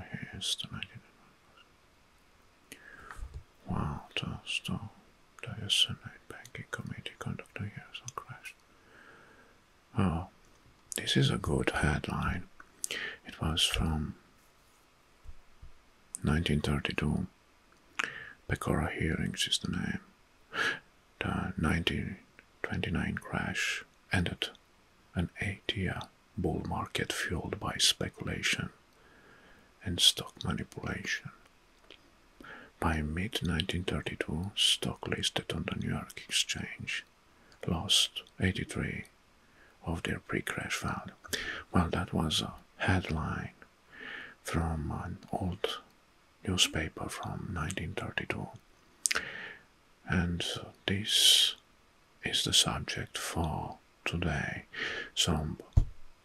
Here's the 1999. Walter Storm, the Senate Banking Committee conductor years of crash. Oh, this is a good headline. It was from 1932. Pecora Hearings is the name. The 1929 crash ended an eight year bull market fueled by speculation and stock manipulation. By mid 1932, stock listed on the New York Exchange lost 83 of their pre crash value. Well, that was a headline from an old newspaper from 1932. And this is the subject for today. Some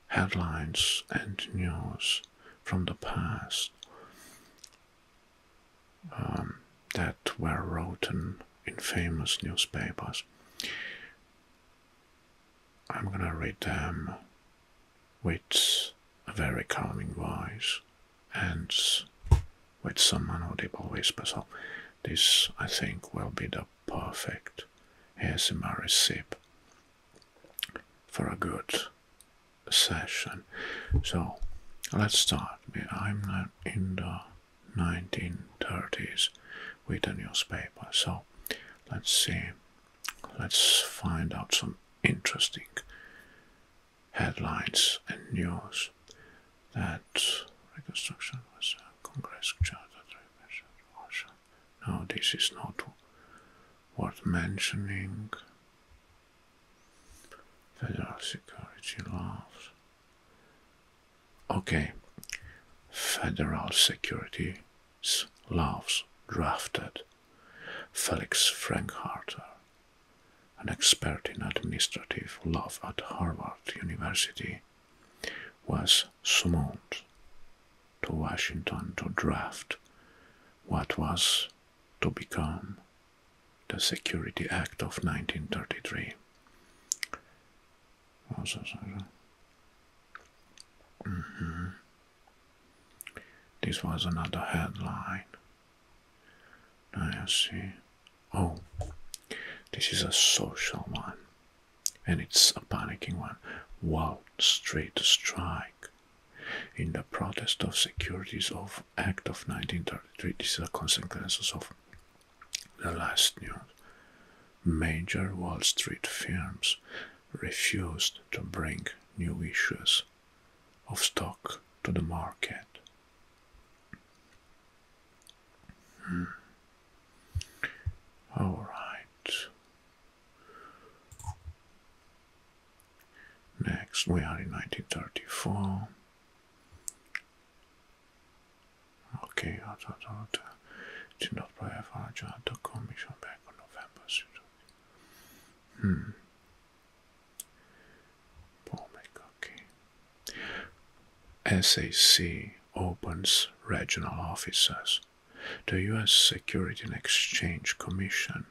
headlines and news from the past um, that were written in famous newspapers. I'm gonna read them with a very calming voice and with some audible whisper. So oh, this, I think, will be the perfect ASMR recipe for a good session. So let's start. I'm in the 1930s with a newspaper. So let's see. Let's find out some interesting headlines and news that Reconstruction was a Congress charter repression No, this is not worth mentioning. Federal security laws. Okay, federal security laws drafted. Felix Frankharter, an expert in administrative law at Harvard University, was summoned to Washington to draft what was to become the Security Act of 1933. Mm-hmm. This was another headline. I see. Oh, this is a social one, and it's a panicking one. Wall Street Strike. In the protest of Securities of Act of 1933, these are consequences of the last news. Major Wall Street firms refused to bring new issues of stock to the market. Hmm. All right. Next, we are in 1934. Okay, did not play Farage at the commission back on November. Hmm. Bomek, okay. SAC opens regional offices. The US Security and Exchange Commission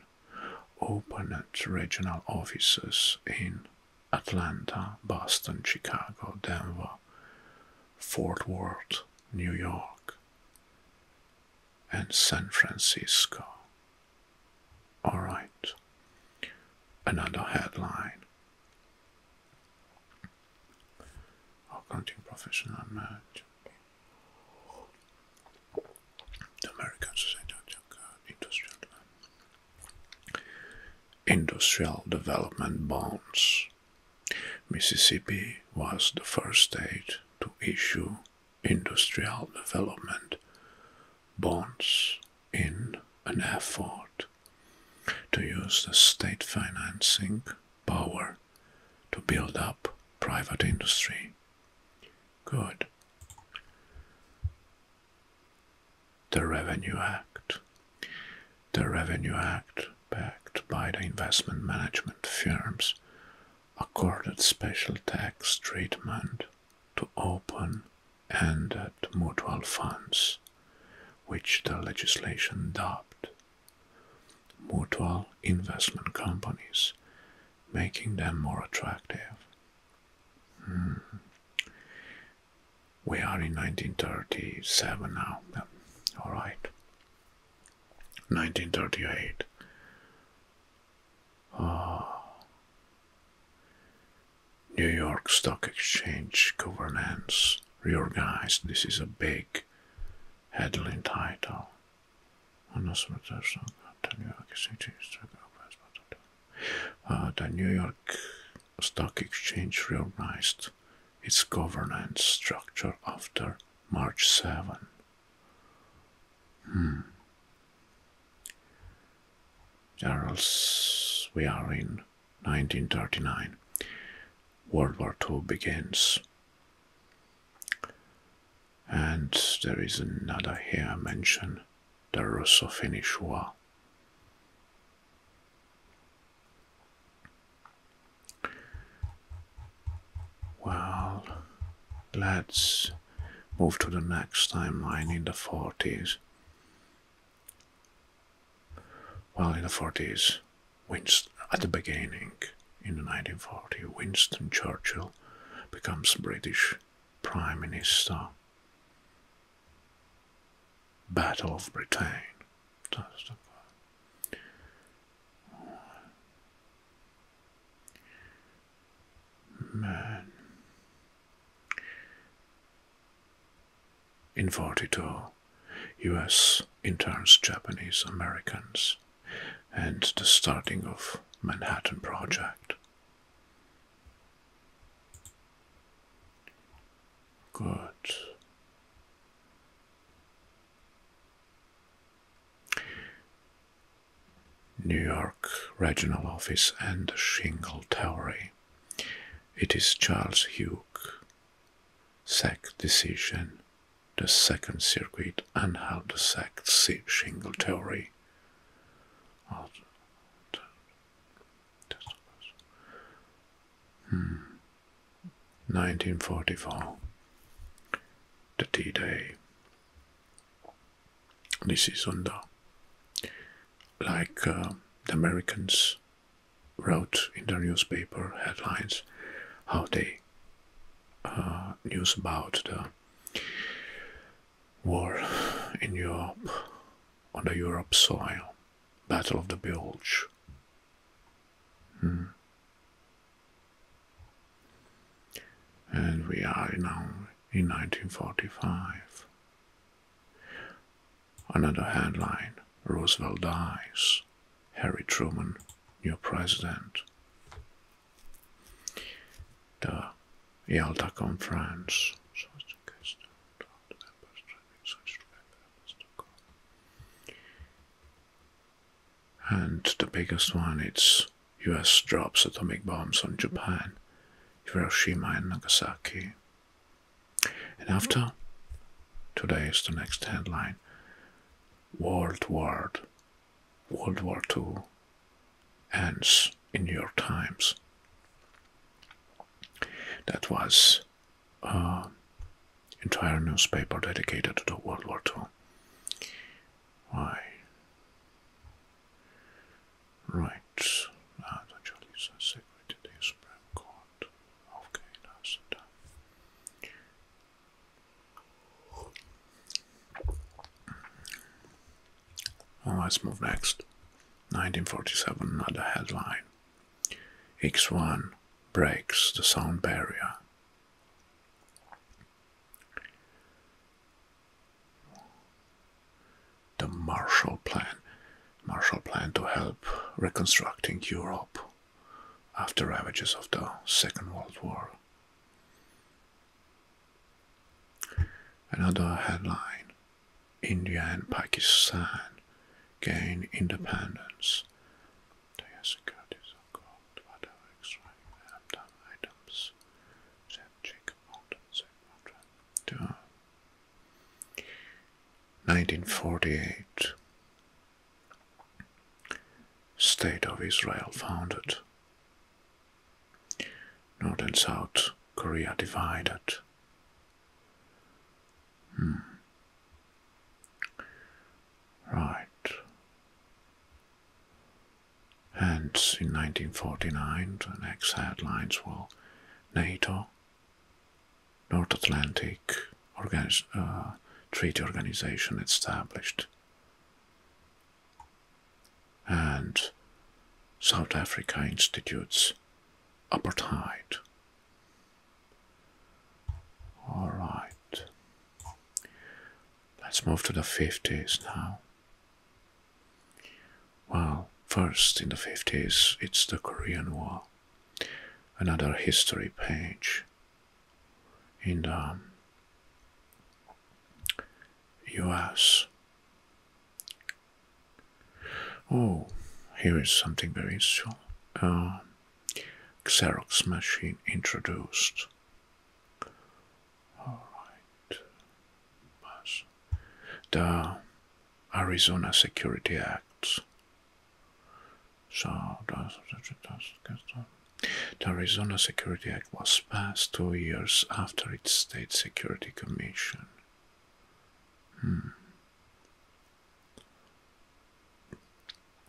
opens regional offices in Atlanta, Boston, Chicago, Denver, Fort Worth, New York, and San Francisco. Alright, another headline Accounting professional merchant. The American Society of Industrial Industrial Development Bonds. Mississippi was the first state to issue industrial development bonds in an effort to use the state financing power to build up private industry. Good. The Revenue Act. The Revenue Act, backed by the investment management firms, accorded special tax treatment to open-ended mutual funds which the legislation dubbed mutual investment companies, making them more attractive. Hmm. We are in 1937 now, all right. 1938. Oh. Ah. New York Stock Exchange governance reorganized. This is a big headline title. Uh, the New York Stock Exchange reorganized its governance structure after March 7. Charles, hmm. we are in 1939. World War II begins. And there is another here mention the Russo Finnish War. Well, let's move to the next timeline in the 40s. Well, in the 40s, at the beginning, in the 1940, Winston Churchill becomes British Prime Minister. Battle of Britain. Man. In 42, US interns Japanese Americans and the starting of Manhattan Project. Good. New York Regional Office and Shingle Towery. It is Charles Hugh sack decision, the second circuit, and how the sack shingle theory 1944, hmm. the t day This is on the, like uh, the Americans wrote in the newspaper headlines how they uh, news about the war in Europe on the Europe soil, Battle of the Bulge. Hmm. And we are now in 1945. Another headline Roosevelt dies. Harry Truman, new president. The Yalta Conference. And the biggest one it's US drops atomic bombs on Japan, Hiroshima and Nagasaki. And after today is the next headline World War, World War II ends in your times. That was an uh, entire newspaper dedicated to the World War II. Why? Right. Now ah, the Justice Secretary of the Supreme Court. Okay, nice done. let's move next. 1947, another headline. X1 breaks the sound barrier. The Marshall Plan. Marshall Plan to help reconstructing Europe after ravages of the Second World War. Another headline India and Pakistan gain independence. 1948 State of Israel founded. North and South Korea divided. Hmm. Right. And in 1949, the next headlines were NATO North Atlantic uh, Treaty Organization established. And South Africa institutes apartheid. All right. Let's move to the 50s now. Well, first in the 50s, it's the Korean War. Another history page in the US. Oh, here is something very interesting. Uh, Xerox machine introduced. Alright. The Arizona Security Act the Arizona Security Act was passed two years after its state security commission.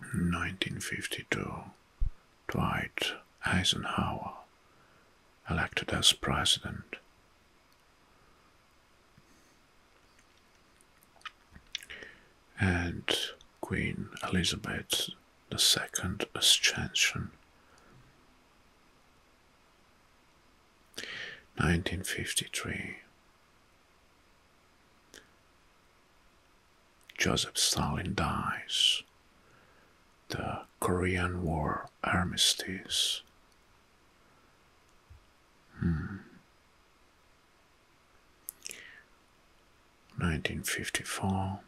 1952, hmm. Dwight Eisenhower elected as president and Queen Elizabeth II Ascension. 1953 Joseph Stalin dies. The Korean War armistice. Hmm. 1954.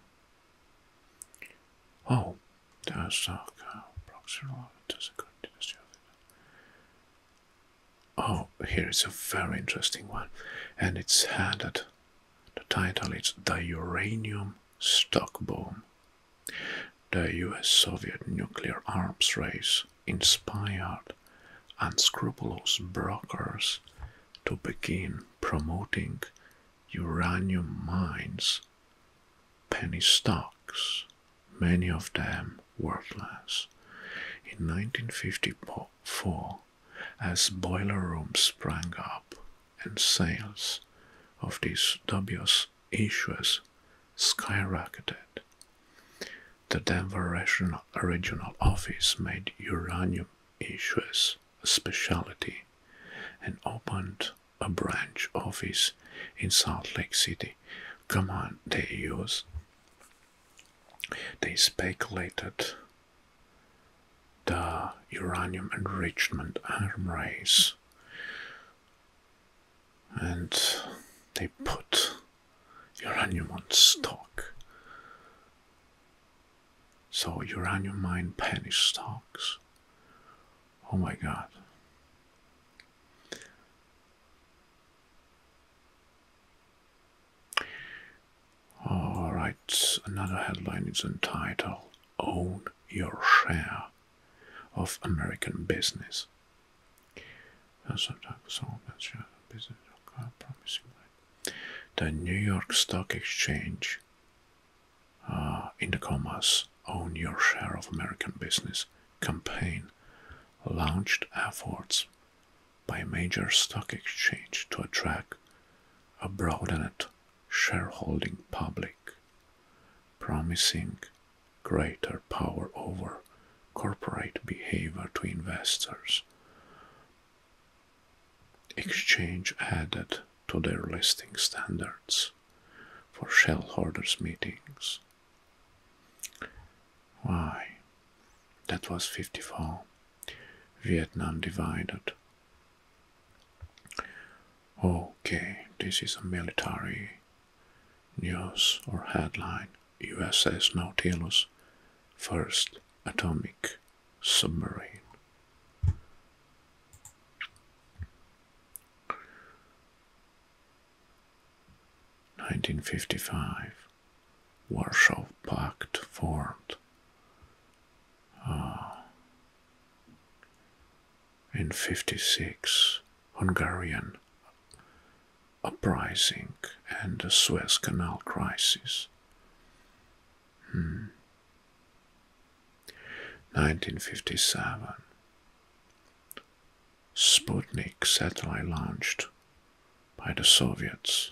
Oh, that's South Carolina. Oh, here is a very interesting one, and it's headed. The title is The Uranium Stock Boom. The US Soviet nuclear arms race inspired unscrupulous brokers to begin promoting uranium mines, penny stocks, many of them worthless. In 1954, as boiler rooms sprang up and sales of these dubious issues skyrocketed, the Denver Rational Vienna regional office made uranium issues a specialty and opened a branch office in Salt Lake City. Command they used. They speculated the uranium enrichment arm race and they put uranium on stock. So uranium mine penny stocks. Oh my god. Alright, another headline is entitled Own Your Share of American Business. Sometimes all that share promising the New York Stock Exchange, uh, in the commas, own your share of American business campaign launched efforts by major stock exchange to attract a broadened shareholding public, promising greater power over corporate behavior to investors Exchange added to their listing standards for shareholders meetings. Why? That was 54. Vietnam divided. Okay, this is a military news or headline. USS Nautilus, first atomic submarine. Nineteen fifty five Warsaw Pact formed uh, in fifty six Hungarian uprising and the Suez Canal crisis 1957. Hmm. Sputnik satellite launched by the Soviets.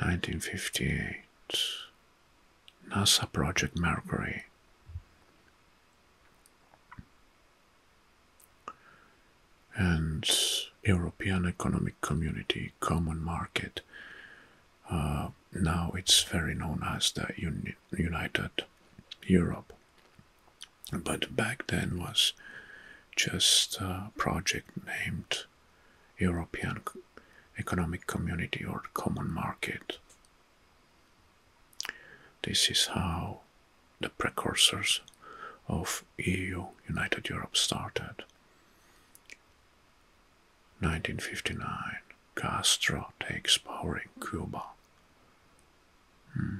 Nineteen fifty eight NASA Project Mercury and European Economic Community Common Market. Uh, now it's very known as the United Europe, but back then was just a project named European Economic Community or Common Market. This is how the precursors of EU, United Europe, started. 1959, Castro takes power in Cuba. Hmm.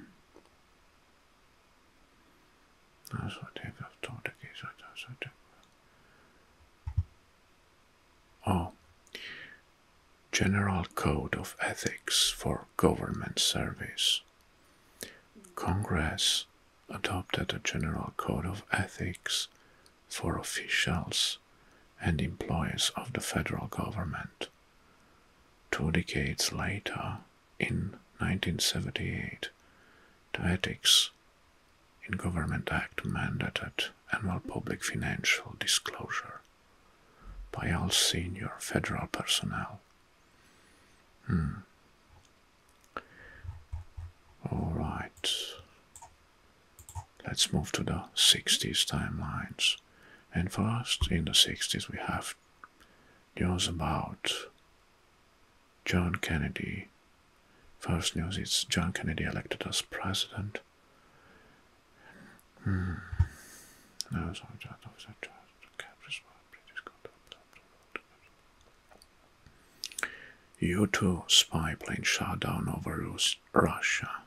Oh, General Code of Ethics for Government Service. Congress adopted a general code of ethics for officials and employees of the federal government. Two decades later, in 1978, the Ethics in Government Act mandated annual public financial disclosure by all senior federal personnel. Hmm. All right. Let's move to the 60s timelines. And first, in the 60s, we have news about John Kennedy. First news is John Kennedy elected as president. Hmm. No, sorry, U-2 spy plane shot down over Russia.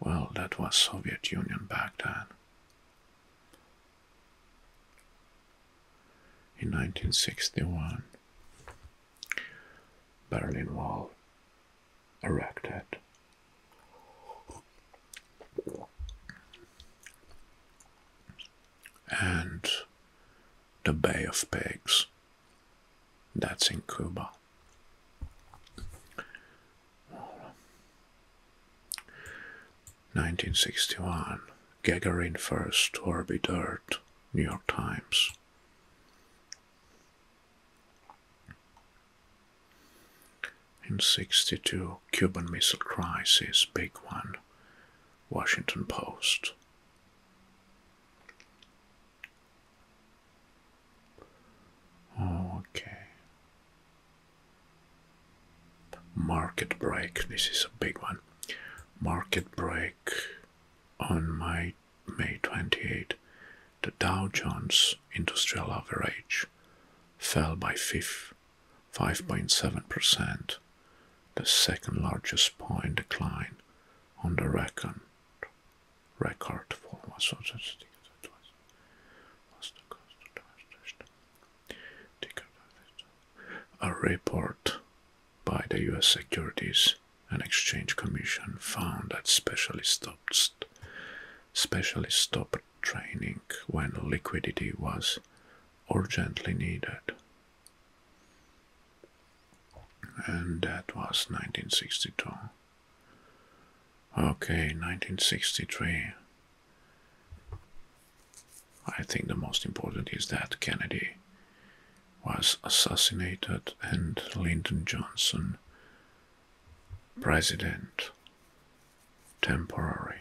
Well, that was Soviet Union back then. In 1961, Berlin Wall erected and the Bay of Pigs. That's in Cuba. Nineteen sixty one, Gagarin first orbit Earth, New York Times. In 62, Cuban Missile Crisis, Big One, Washington Post. Okay. Market break, this is a big one. Market break on my May twenty-eighth. the Dow Jones Industrial Average fell by five. 5.7%, the second largest point decline on the record. Record for was a report by the US Securities and Exchange Commission found that specialists stopped specially stopped training when liquidity was urgently needed. And that was 1962. Okay, 1963. I think the most important is that Kennedy was assassinated and Lyndon Johnson, president, temporary.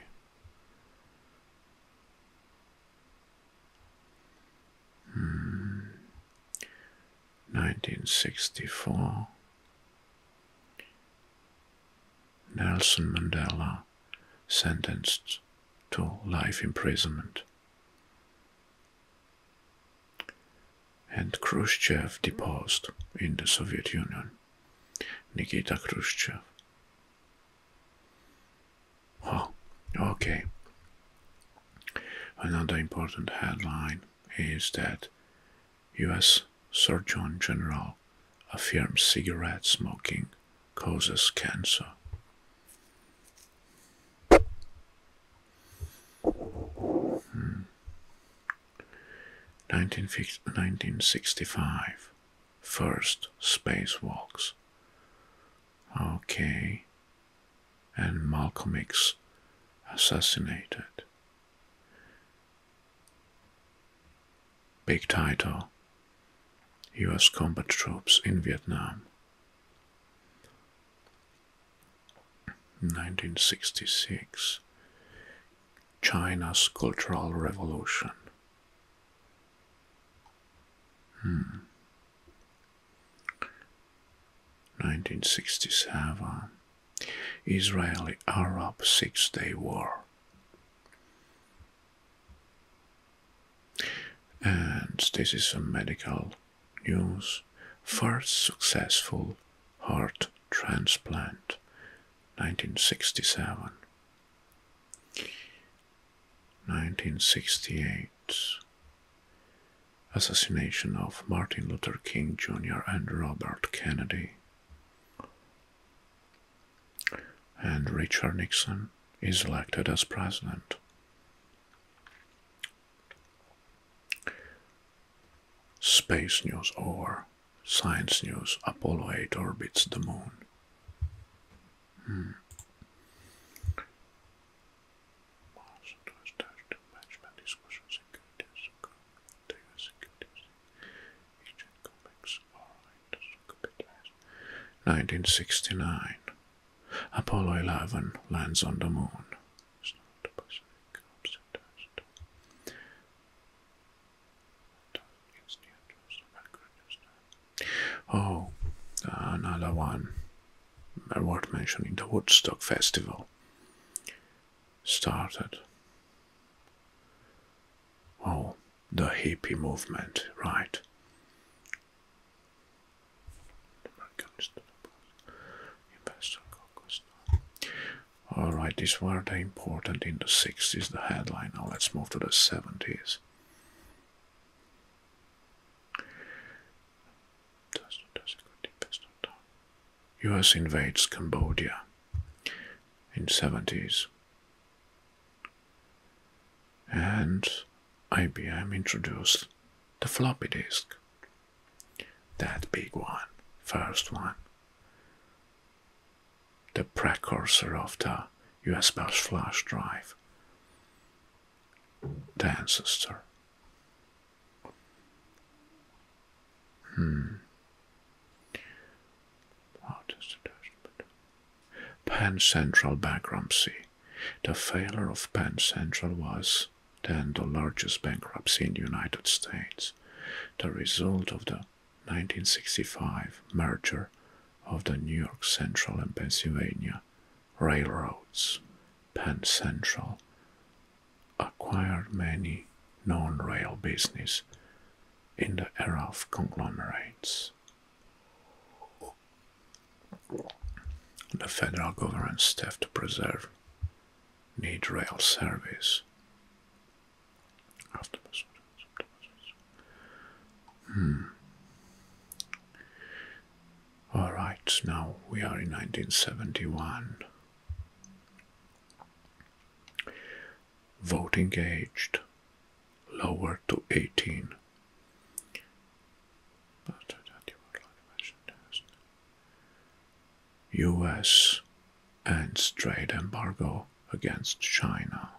1964 hmm. Nelson Mandela sentenced to life imprisonment. And Khrushchev deposed in the Soviet Union Nikita Khrushchev Oh, okay. Another important headline is that US Surgeon General affirms cigarette smoking causes cancer. Hmm. 1965 first spacewalks. Okay. And Malcolm X assassinated. Big title US combat troops in Vietnam. 1966 China's Cultural Revolution 1967 hmm. Israeli Arab Six Day War. And this is a medical news. First successful heart transplant 1967. 1968 Assassination of Martin Luther King Jr. and Robert Kennedy. And Richard Nixon is elected as president. Space news over. Science News Apollo 8 orbits the moon. Nineteen sixty nine. Apollo eleven lands on the moon. Oh, another one. Worth mentioning the Woodstock Festival started. Oh, the hippie movement, right. Alright, this were the important in the 60s, the headline. Now let's move to the 70s. US invades Cambodia in 70s and IBM introduced the floppy disk that big one first one the precursor of the USB flash drive, the ancestor. Hmm. Penn Central bankruptcy. The failure of Pan Central was then the largest bankruptcy in the United States, the result of the 1965 merger of the New York Central and Pennsylvania railroads, Penn Central, acquired many non-rail business in the era of conglomerates. The federal government staff to preserve need rail service Octopus. Hmm. All right, now we are in 1971. Voting aged lower to 18. US ends trade embargo against China.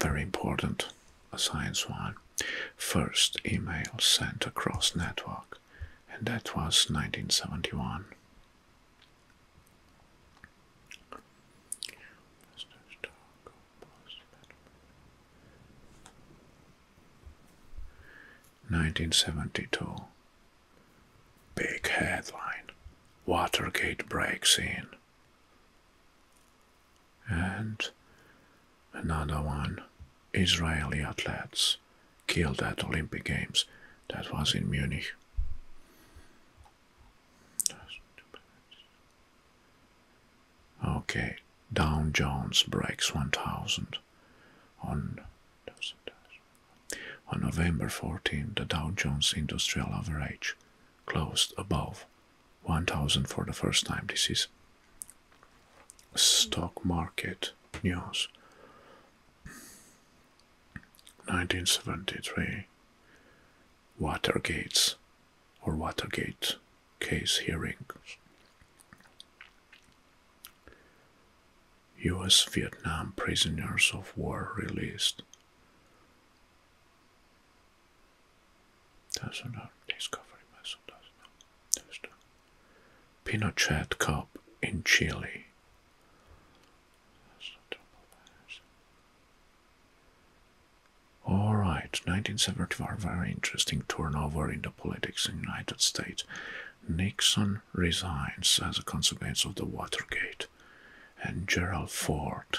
Very important science one. First email sent across network, and that was 1971. Nineteen seventy two. Big headline. Watergate breaks in. And another one Israeli athletes killed at Olympic Games. That was in Munich. Okay, Dow Jones breaks 1000 on on November fourteenth. the Dow Jones Industrial Average closed above 1000 for the first time. This is stock market news. 1973 Watergate, or Watergate case hearings. US Vietnam prisoners of war released. Doesn't have discovery vessel, doesn't it? There's the Pinochet Cup in Chile. All right, 1974, very interesting turnover in the politics in the United States. Nixon resigns as a consequence of the Watergate, and Gerald Ford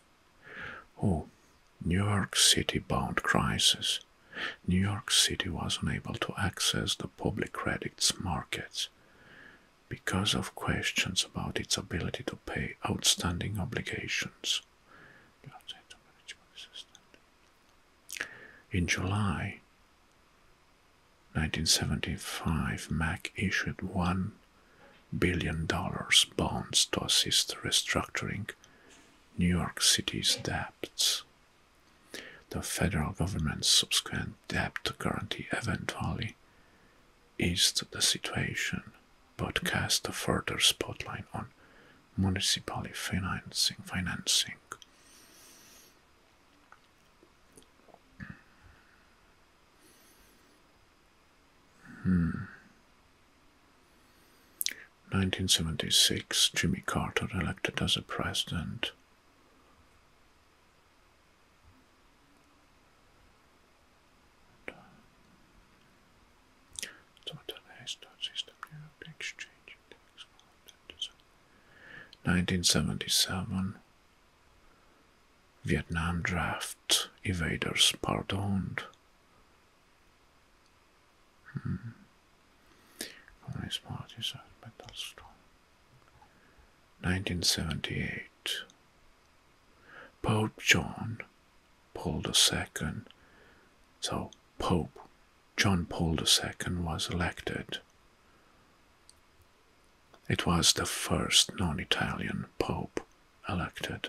Oh, New York City bound crisis. New York City was unable to access the public credits markets because of questions about its ability to pay outstanding obligations. In July 1975, Mac issued one billion dollars bonds to assist restructuring New York City's debts. The federal government's subsequent debt guarantee eventually eased the situation, but cast a further spotlight on municipal financing. financing. 1976, hmm. Jimmy Carter elected as a president. Nineteen seventy seven Vietnam draft evaders pardoned Hmm. Only a metal strong. 1978. Pope John Paul II. So, Pope John Paul II was elected. It was the first non Italian Pope elected.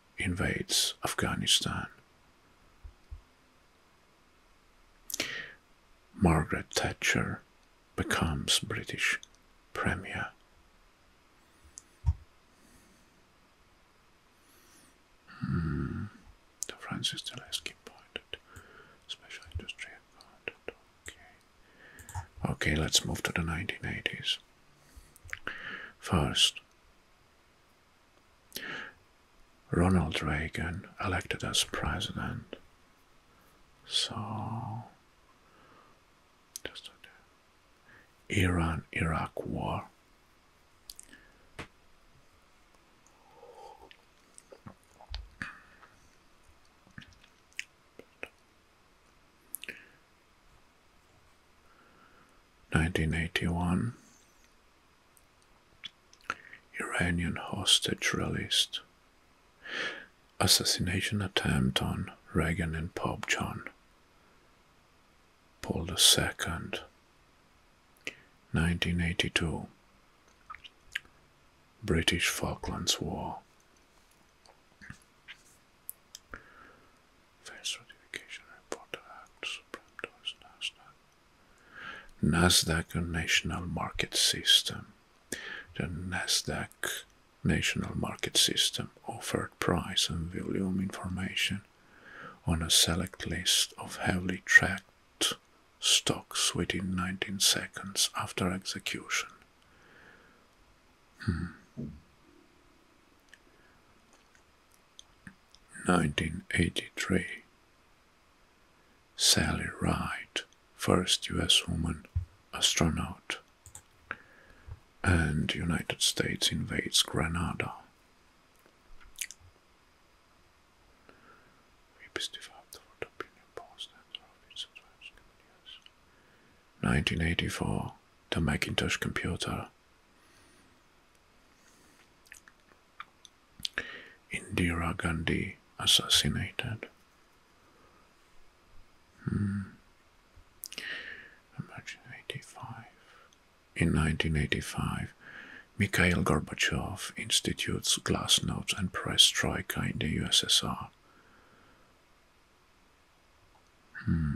invades Afghanistan. Margaret Thatcher becomes British Premier. Hmm. The Francis Telesky pointed. Special industry accounted. Okay, let's move to the 1980s. First, Ronald Reagan elected as president. So, just Iran Iraq war. Nineteen eighty one Iranian hostage released. Assassination attempt on Reagan and Pope John Paul II. 1982 British Falklands War NASDAQ National Market System. The NASDAQ National Market System offered price and volume information on a select list of heavily tracked stocks within 19 seconds after execution. Hmm. 1983. Sally Ride, first US woman astronaut. And United States invades Grenada. Nineteen eighty four, the Macintosh computer. Indira Gandhi assassinated. Hmm. Imagine 85. In 1985, Mikhail Gorbachev institutes glass notes and perestroika in the USSR. Hmm.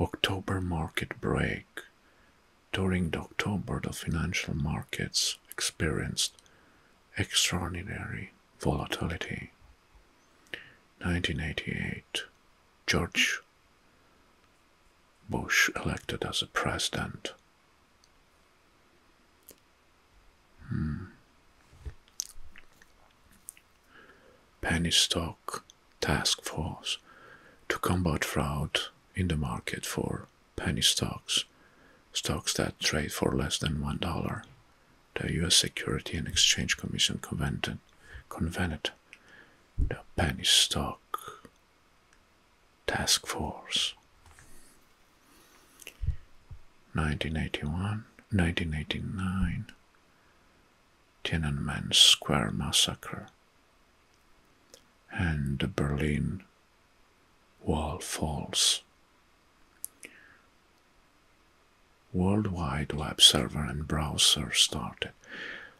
October market break. During the October, the financial markets experienced extraordinary volatility. 1988 George Bush elected as a president. Hmm penny stock task force to combat fraud in the market for penny stocks, stocks that trade for less than $1. The US Security and Exchange Commission convened, convened the penny stock task force. 1981, 1989, Tiananmen Square massacre and the Berlin Wall falls. Worldwide Web server and browser started.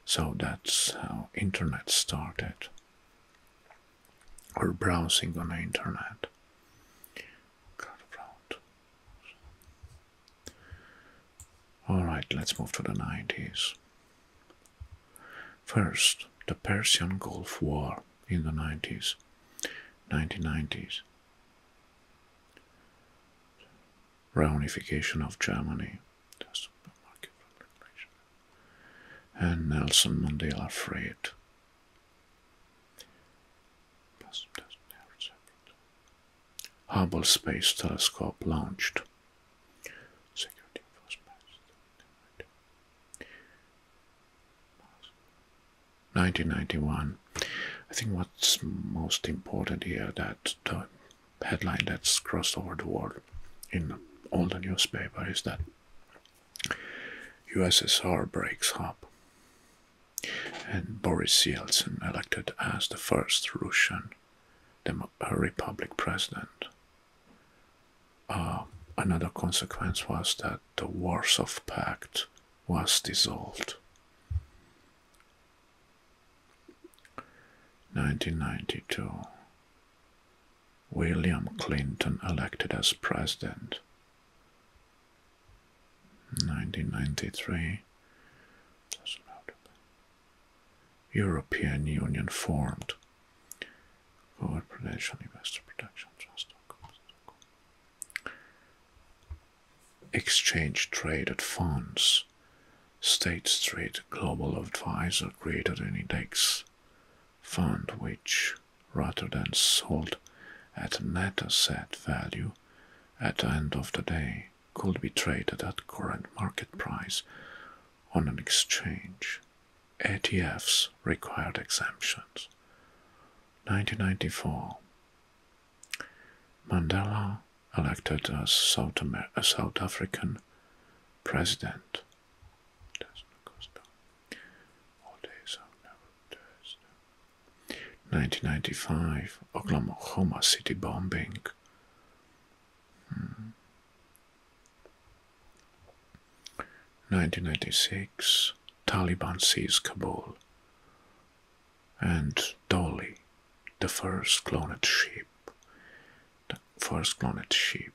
So that's how internet started. Or browsing on the internet. All right, let's move to the 90s. First, the Persian Gulf War in the 90s, 1990s. Reunification of Germany. And Nelson Mandela Freight. Hubble Space Telescope launched. Nineteen ninety one. I think what's most important here that the headline that's crossed over the world in all the newspapers, is that USSR breaks up and Boris Yeltsin elected as the first Russian Demo Republic president. Ah, another consequence was that the Warsaw Pact was dissolved. 1992 William Clinton elected as president. 1993 European Union formed. Forward Protection Trust. Exchange traded funds. State Street Global Advisor created an index fund which, rather than sold at net asset value at the end of the day, could be traded at current market price on an exchange. ATFs required exemptions. 1994 Mandela elected as South African president. Nineteen ninety five Oklahoma City bombing. 1996, Taliban seize Kabul, and Dolly, the first cloned sheep, the first cloned sheep.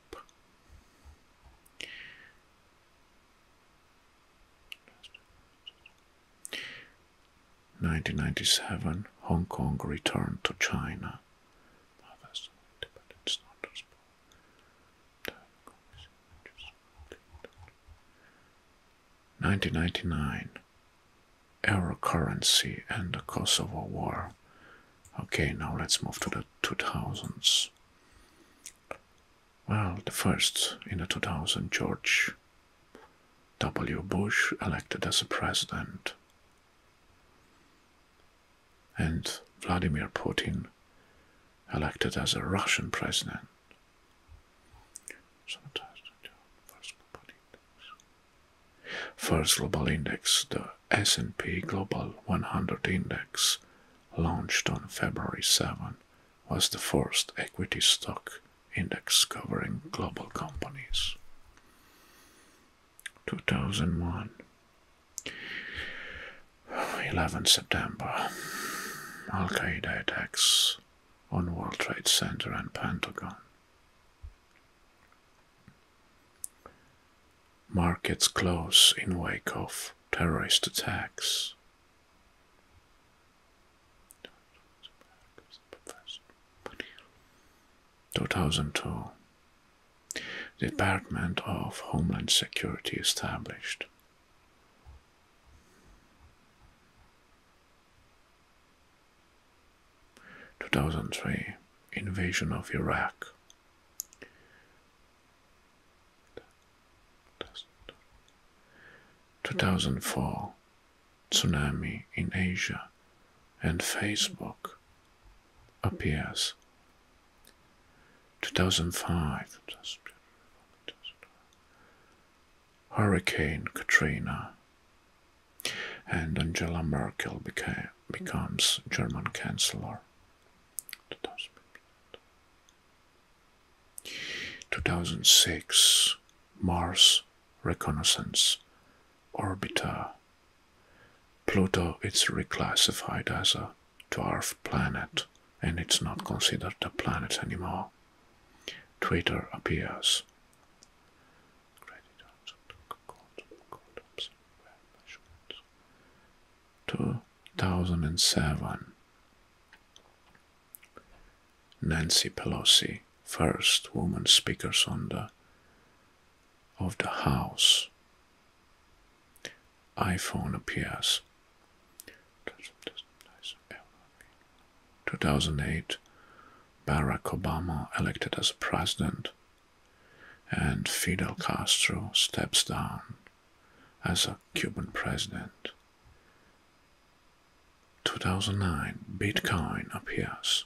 Nineteen ninety seven, Hong Kong returned to China. 1999 Euro currency and the Kosovo War. Okay, now let's move to the 2000s. Well, the first in the 2000s, George W. Bush elected as a president and Vladimir Putin elected as a Russian president. First global index, the S&P Global 100 index, launched on February 7, was the first equity stock index covering global companies. 2001 11 September Al Qaeda attacks on World Trade Center and Pentagon. Markets close in wake of terrorist attacks. Two thousand two Department of Homeland Security established. Two thousand three invasion of Iraq. Two thousand four tsunami in Asia and Facebook appears. 2005 Hurricane Katrina and Angela Merkel becomes German Chancellor. 2006 Mars Reconnaissance Orbita. Pluto is reclassified as a dwarf planet and it's not considered a planet anymore. Twitter appears. Two thousand and seven. Nancy Pelosi, first woman speaker, on the of the house. iPhone appears. 2008, Barack Obama elected as president, and Fidel Castro steps down as a Cuban president. 2009, Bitcoin appears.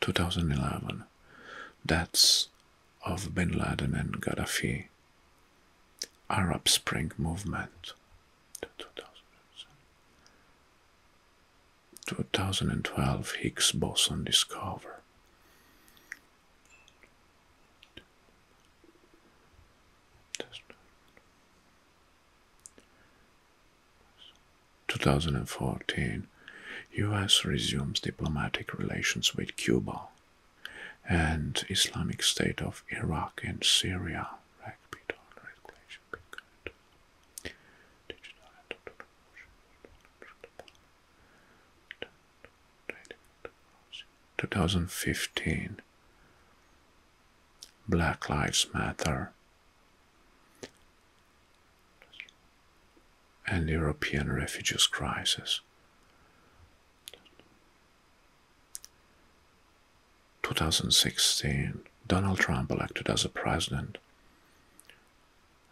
2011 deaths of bin Laden and Gaddafi, Arab Spring movement, 2012 Higgs boson discovered. 2014, US resumes diplomatic relations with Cuba and Islamic State of Iraq and Syria. Two thousand fifteen Black Lives Matter and European refugees crisis. 2016, Donald Trump elected as a president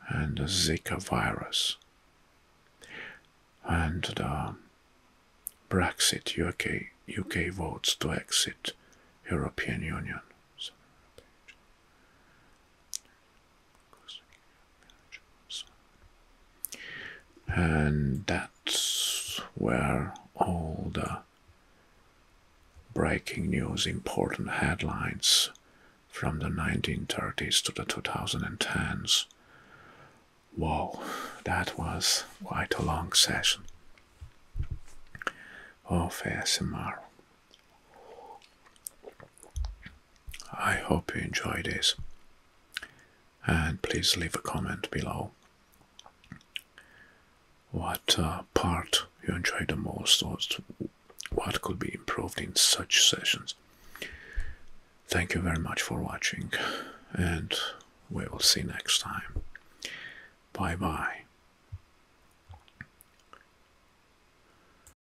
and the Zika virus and the Brexit UK, UK votes to exit European Union. And that's where all the breaking news, important headlines from the 1930s to the 2010s. Wow, that was quite a long session of ASMR. I hope you enjoy this. And please leave a comment below what uh, part you enjoy the most or what could be improved in such sessions. Thank you very much for watching and we will see next time. Bye bye.